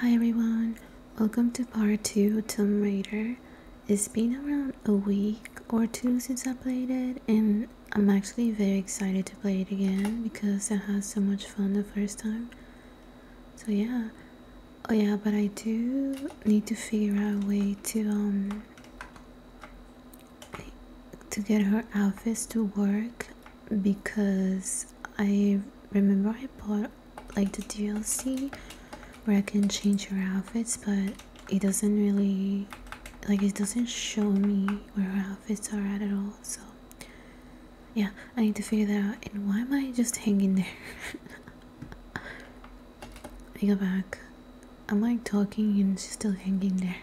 Hi everyone, welcome to part 2 Tomb Raider. It's been around a week or two since I played it and I'm actually very excited to play it again because I had so much fun the first time. So yeah. Oh yeah, but I do need to figure out a way to um to get her outfits to work because I remember I bought like the DLC where I can change your outfits but it doesn't really like it doesn't show me where her outfits are at at all so yeah I need to figure that out and why am I just hanging there I go back I'm like talking and she's still hanging there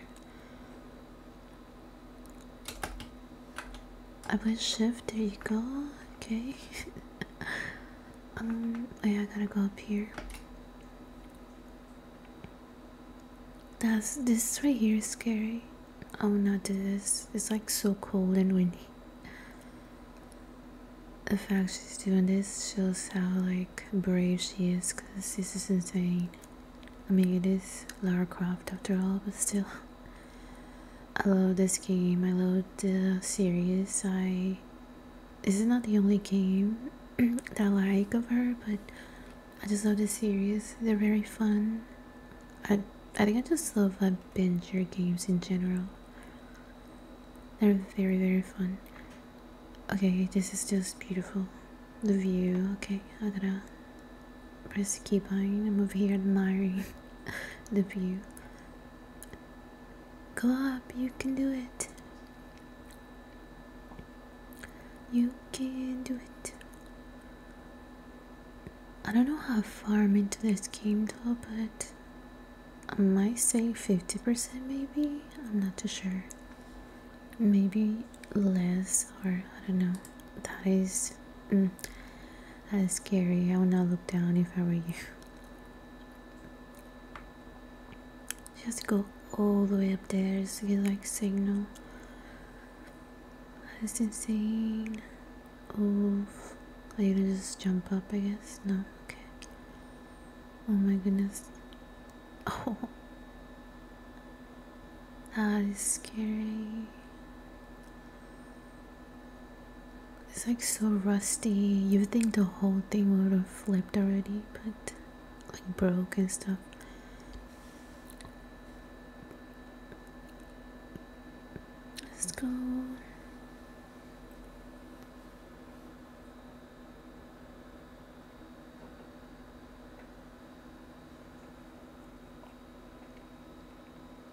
I press shift, there you go, okay. um, oh yeah, I gotta go up here. That's, this right here is scary. I will oh, not do this. It's like so cold and windy. The fact she's doing this shows how like brave she is because this is insane. I mean it is Lara Croft after all but still I love this game. I love the series. I this is not the only game that I like of her, but I just love the series. They're very fun. I I think I just love adventure games in general. They're very very fun. Okay, this is just beautiful. The view. Okay, I gotta press the key button. I'm over here admiring the view. Go up, you can do it. You can do it. I don't know how far I'm into this game though, but I might say 50% maybe. I'm not too sure. Maybe less, or I don't know. That is. Mm, that's scary. I would not look down if I were you. Just go all the way up there just to get like signal. That's insane. Oh, I you to just jump up, I guess? No, okay. Oh my goodness. Oh. That is scary. It's like so rusty. You would think the whole thing would have flipped already, but like broke and stuff. Let's go.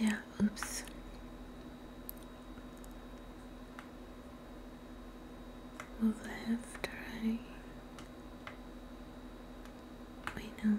yeah oops move left right wait no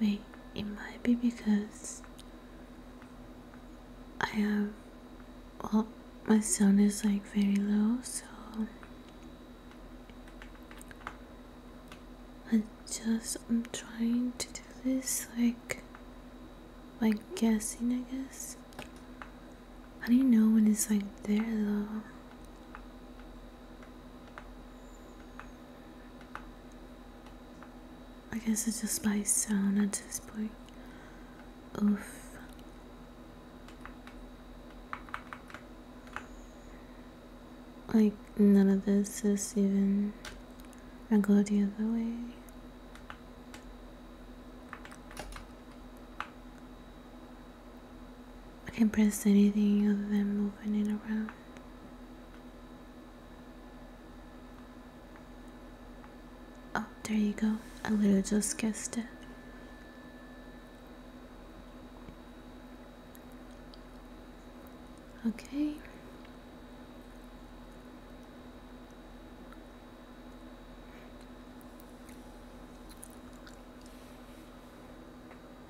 Wait, it might be because I have, well, my sound is like very low, so I just, I'm trying to do this like, by guessing, I guess. I do you know when it's like there though? I guess it's just by sound at this point. Oof. Like, none of this is even. I go the other way. I can't press anything other than moving it around. Oh, there you go. I literally just guessed it. Okay.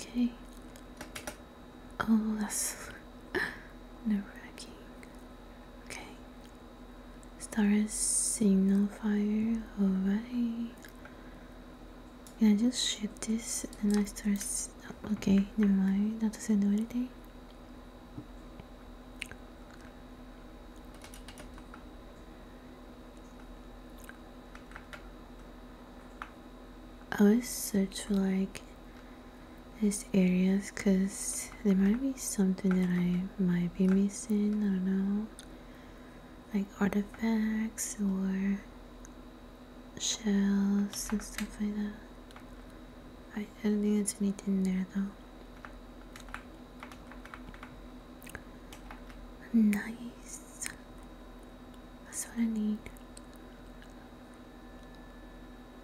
Okay. Oh, that's nerve wracking. Okay. Star signal fire, alright. Can I just shift this and I start. Okay, never mind, that doesn't do anything. I was search for like these areas because there might be something that I might be missing. I don't know, like artifacts or shells and stuff like that. I, I don't think there's anything there though. Nice. That's what I need.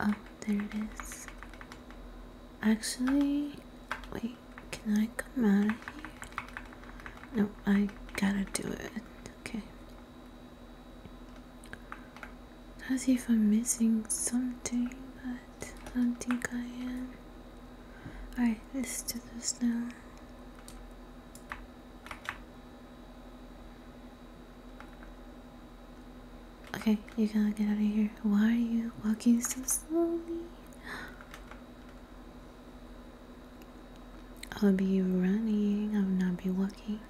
Oh, there it is. Actually, wait, can I come out of here? No, I gotta do it. Okay. As if I'm missing something, but I don't think I am. Alright, let's do this now. Okay, you gotta get out of here. Why are you walking so slowly? I'll be running, I'll not be walking.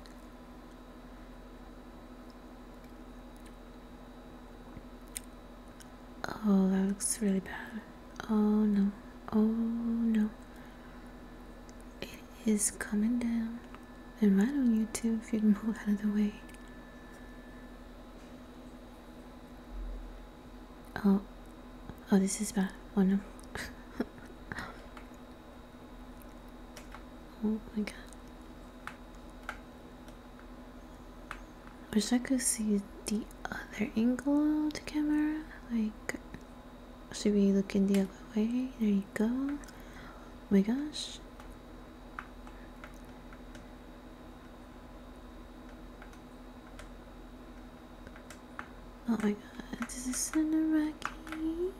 Oh, that looks really bad. Oh no. Oh no is coming down and right on YouTube? if you can move out of the way. Oh, oh, this is bad. Oh no. oh my god. Wish I could see the other angle of the camera, like should be looking the other way there you go my gosh oh my god this is so rocky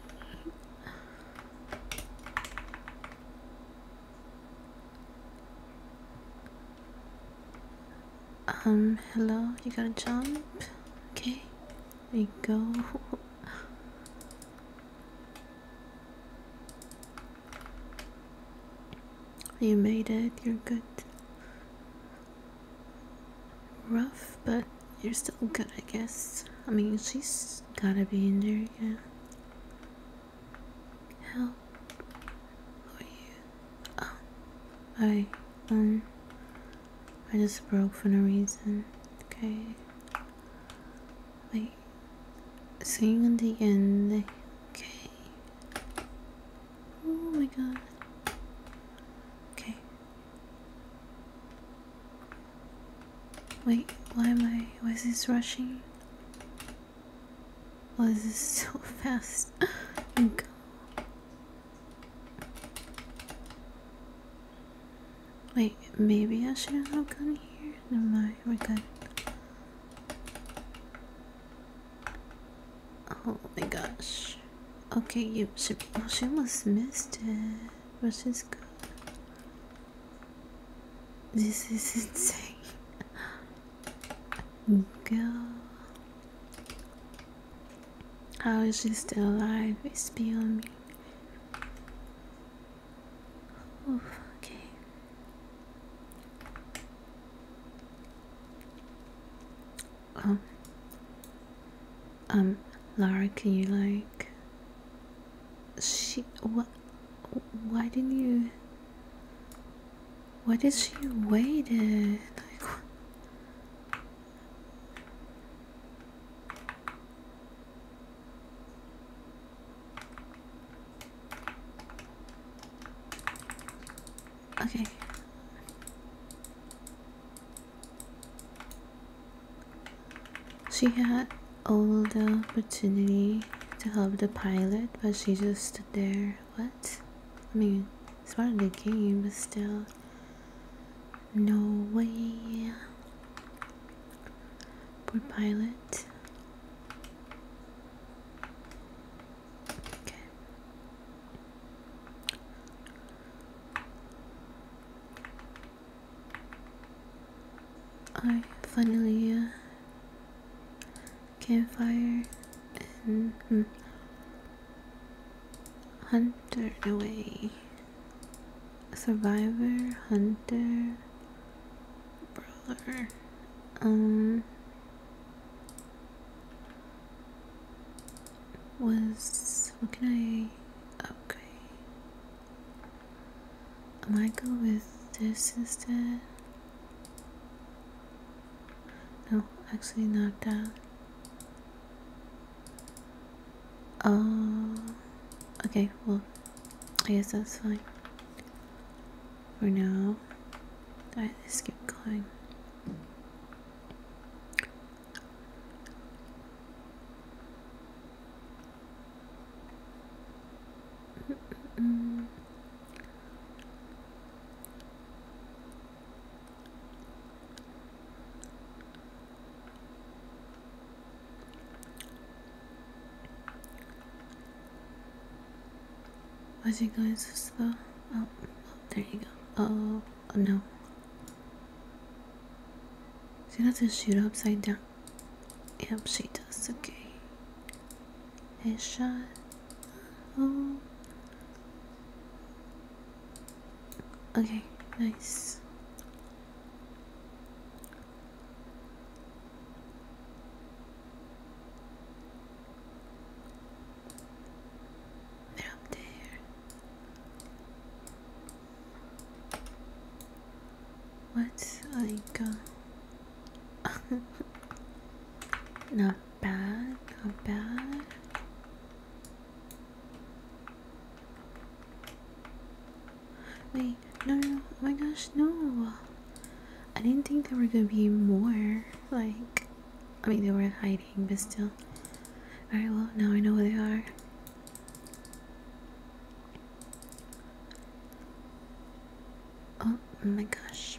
um hello you gotta jump okay there you go. you made it, you're good. Rough, but you're still good, I guess. I mean, she's gotta be in there, yeah. Help. are you? Oh, I, um, I just broke for no reason, okay? Like, sing at the end, okay? Oh my god. Okay. Wait, why am I, why is this rushing? Why is this so fast. Oh go. Wait, maybe I should have gone here. No, my we're Oh my gosh. Okay, you Oh, she must missed it. Which is good. This is insane. Go. How is she still alive? It's beyond me. Oof, okay. Um, um Lara, can you like? She what? Why didn't you? Why did she wait? Okay. She had all the opportunity to help the pilot, but she just stood there. What? I mean, it's part of the game, but still. No way. Poor pilot. I finally uh, campfire and. Hmm, Hunter away. Survivor, hunter, brother. Um was what can I okay. I might go with this instead. No, actually not that. Uh, okay, well, I guess that's fine. For now, I just keep going. Mm was he going to slow? Oh, there you go. Oh, no. She doesn't shoot upside down. Yep, she does. Okay. Headshot. Oh. Okay, nice. They're What I got? not bad, not bad. Wait, no, no, oh my gosh, no. I didn't think there were gonna be more. Like, I mean, they were hiding, but still. Alright, well, now I know where they are. Oh, oh my gosh.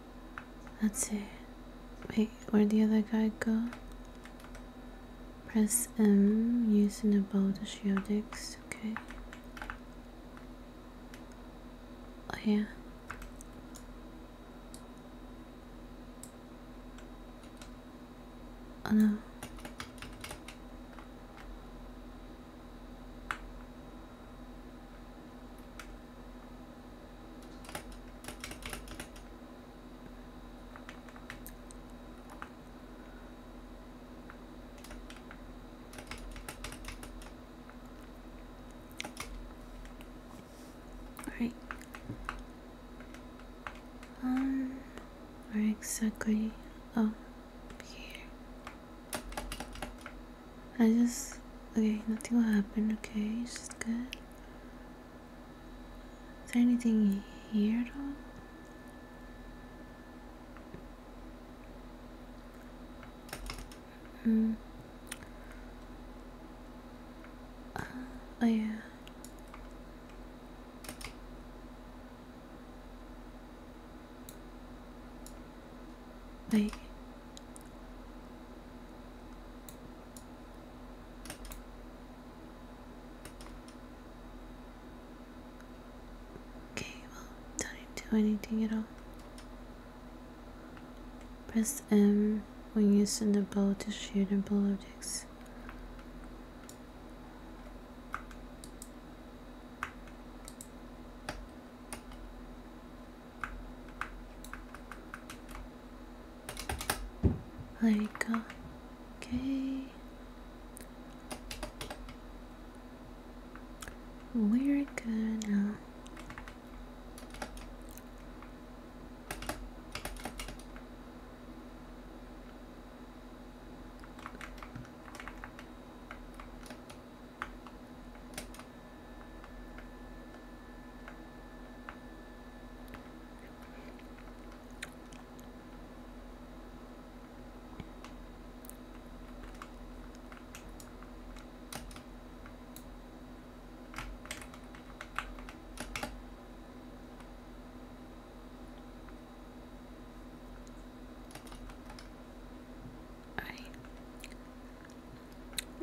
That's it. Wait, where'd the other guy go? Press M using the bow to shield X. Okay. Oh yeah. Oh no. Right. Um, where exactly? Oh, here. I just okay. Nothing will happen. Okay, it's just good. Is there anything here at all? Mm. Uh, oh yeah. Wait. Okay, don't do anything at all. Press M when you send a bow to shoot and blow objects. There we go. Okay. We're gonna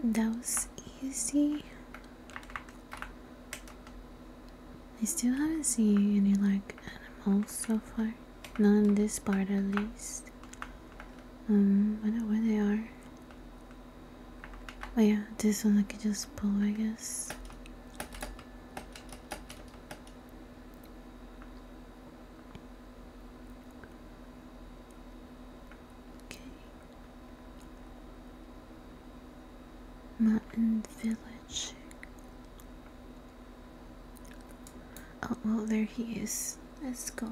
that was easy. I still haven't seen any like animals so far. Not in this part at least. Um, I don't know where they are. Oh yeah, this one I could just pull, I guess. Okay. Mountain village. Oh, well, there he is. Let's go.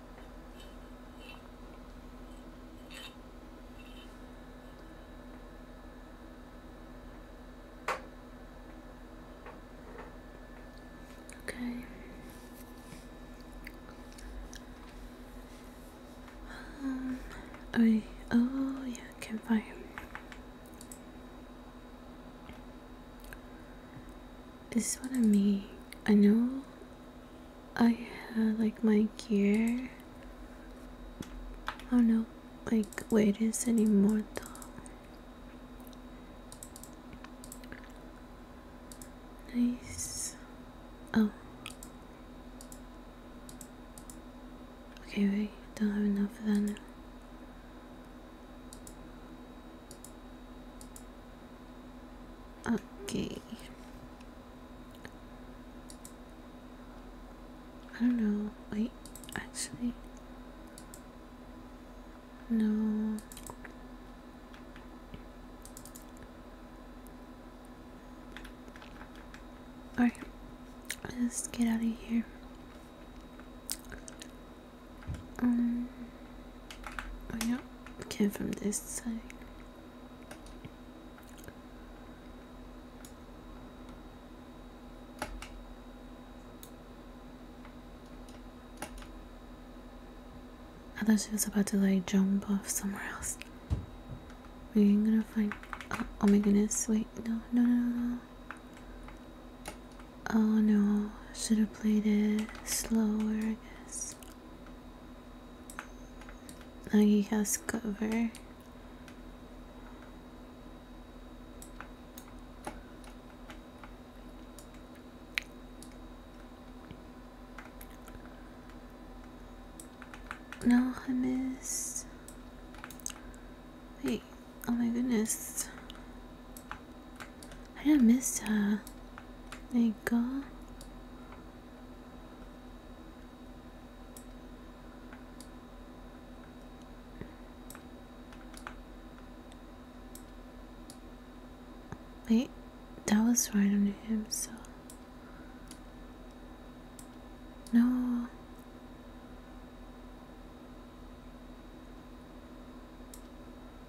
Okay. Um, I oh yeah, campfire. This is what I mean. I know I have like my gear. I don't know, like weight is anymore though. Nice. Oh. Okay, wait. Don't have enough of that Okay. I don't know. Wait, actually. No. Alright, let's get out of here. Um, Oh yeah, came from this side. I thought she was about to like jump off somewhere else. We're gonna find. Oh, oh, my goodness! Wait, no, no, no, no. Oh no! Should have played it slower, I guess. Now oh, he has cover. No, I missed. Wait, oh my goodness. I didn't miss her. Uh, there you go Wait, that was right under him, so no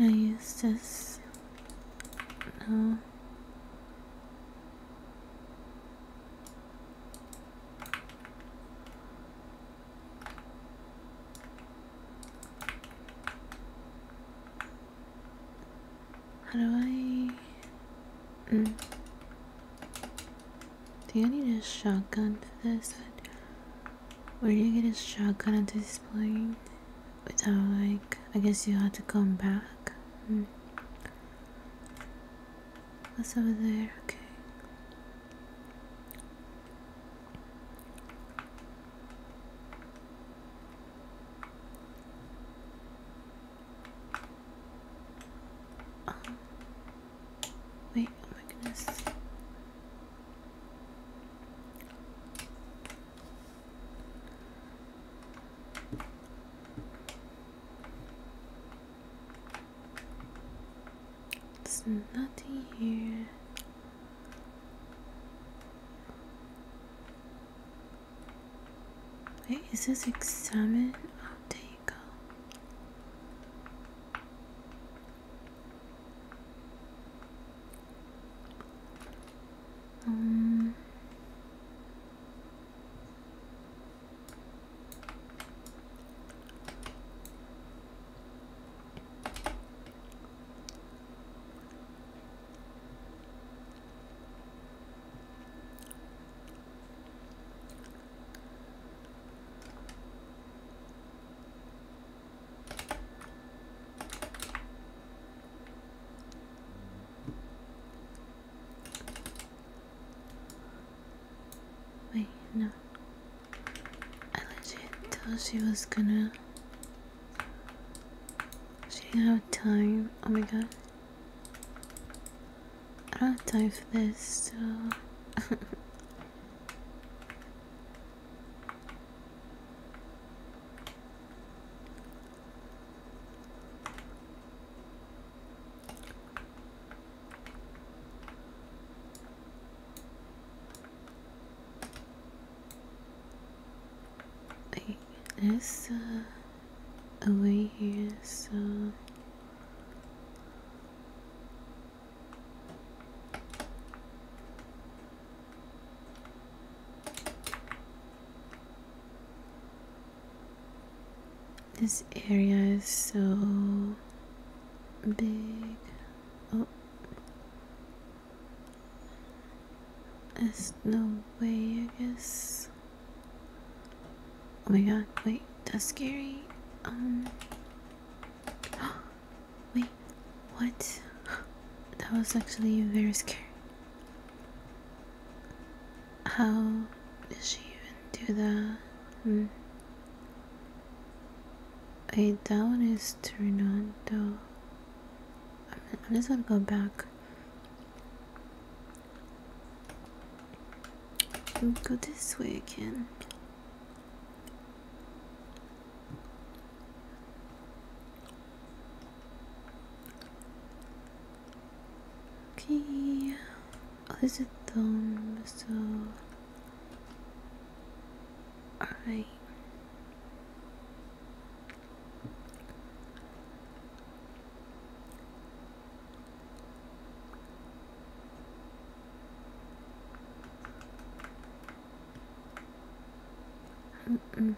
I used this. No. How do I... Mm. Do I need a shotgun for this? Where do you get a shotgun to display? Without like... I guess you had to come back. Hmm. What's over there? Okay. Um, wait, oh my goodness. There's nothing here. Wait, is this exam? there you go. Um, Wait, no. I legit thought she was gonna. She didn't have time. Oh my god. I don't have time for this, so... this, uh, away here, so this area is so big. Oh, there's no way, I guess. Oh my god, wait, that's scary. Um. Wait, what? That was actually very scary. How does she even do that? Hmm. Wait, that one is turned i I'm just gonna go back go this way again. Okay, oh, this so alright. Mm -mm.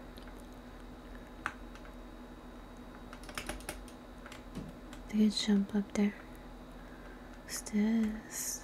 They could jump up there. What's this?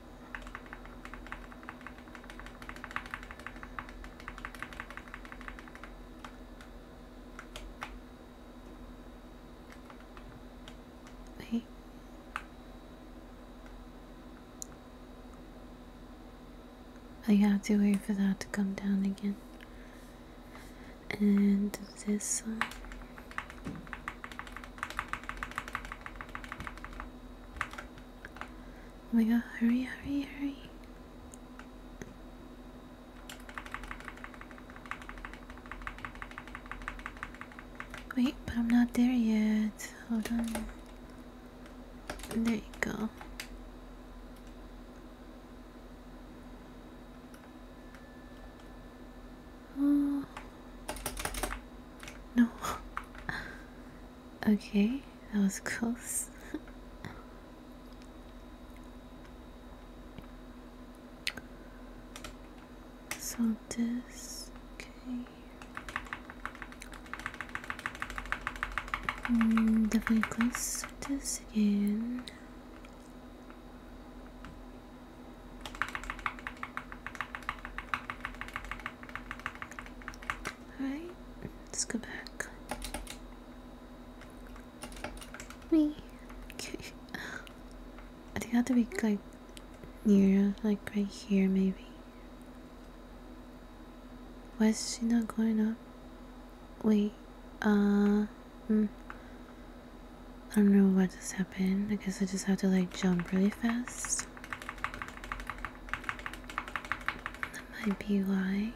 Wait. I have to wait for that to come down again. And this one. Oh my god, hurry, hurry, hurry. Wait, but I'm not there yet. Hold on. There you go. Oh. No. Okay, that was close. so this, okay. Mm, definitely close this again. Alright, let's go back. Me. Okay. I think I have to be like near, like right here maybe. Why is she not going up? Wait, uh, mm, I don't know what just happened. I guess I just have to like jump really fast. That might be why.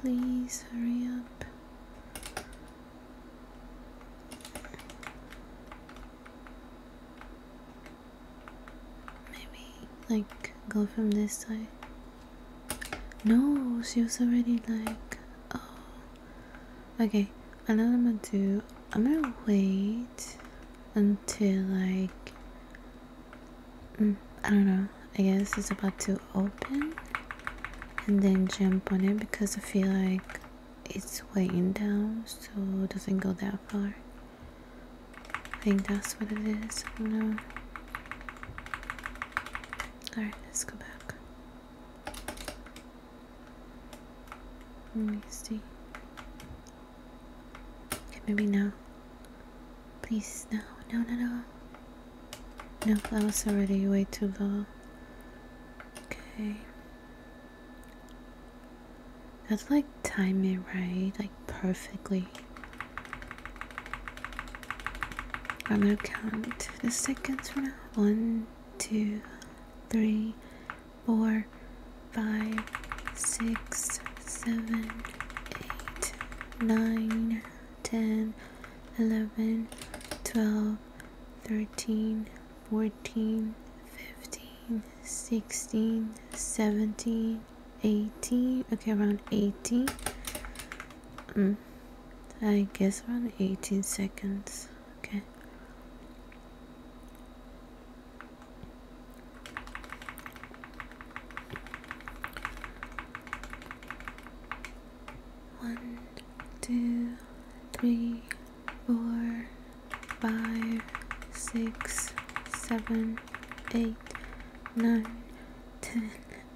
Please hurry up. Maybe, like, go from this side. No, she was already like, oh. Okay, I know what I'm gonna do. I'm gonna wait until like, mm, I don't know. I guess it's about to open and then jump on it because I feel like it's weighing down so it doesn't go that far. I think that's what it is. I Alright, let's go back. Let me see. Okay, maybe now. Please, no, no, no, no. No, that already way too low. Okay. That's like time it right, like perfectly. I'm gonna count the seconds for now. One, two, three, four, five, six, seven, eight, nine, ten, eleven, twelve, thirteen, fourteen, fifteen, sixteen, seventeen, eighteen. Okay, around eighteen. Mm. I guess around 18 seconds okay one two three four five six seven eight nine ten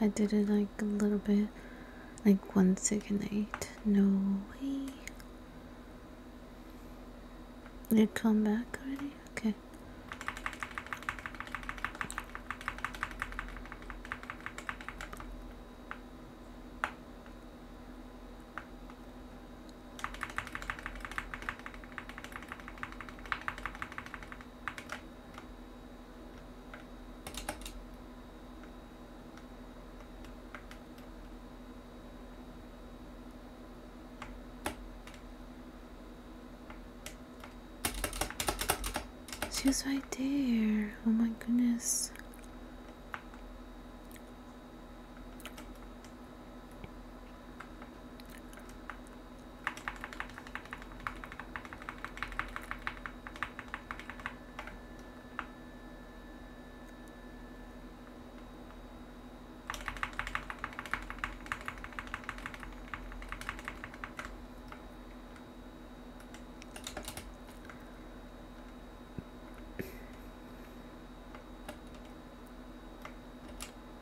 I did it like a little bit, like one second eight. No way. Did it come back already? Okay. She's right there. Oh my goodness.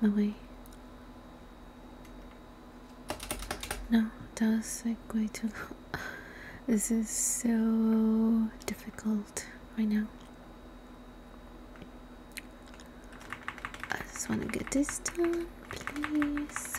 Lily, no, that was like way too This is so difficult right now. I just want to get this done, please.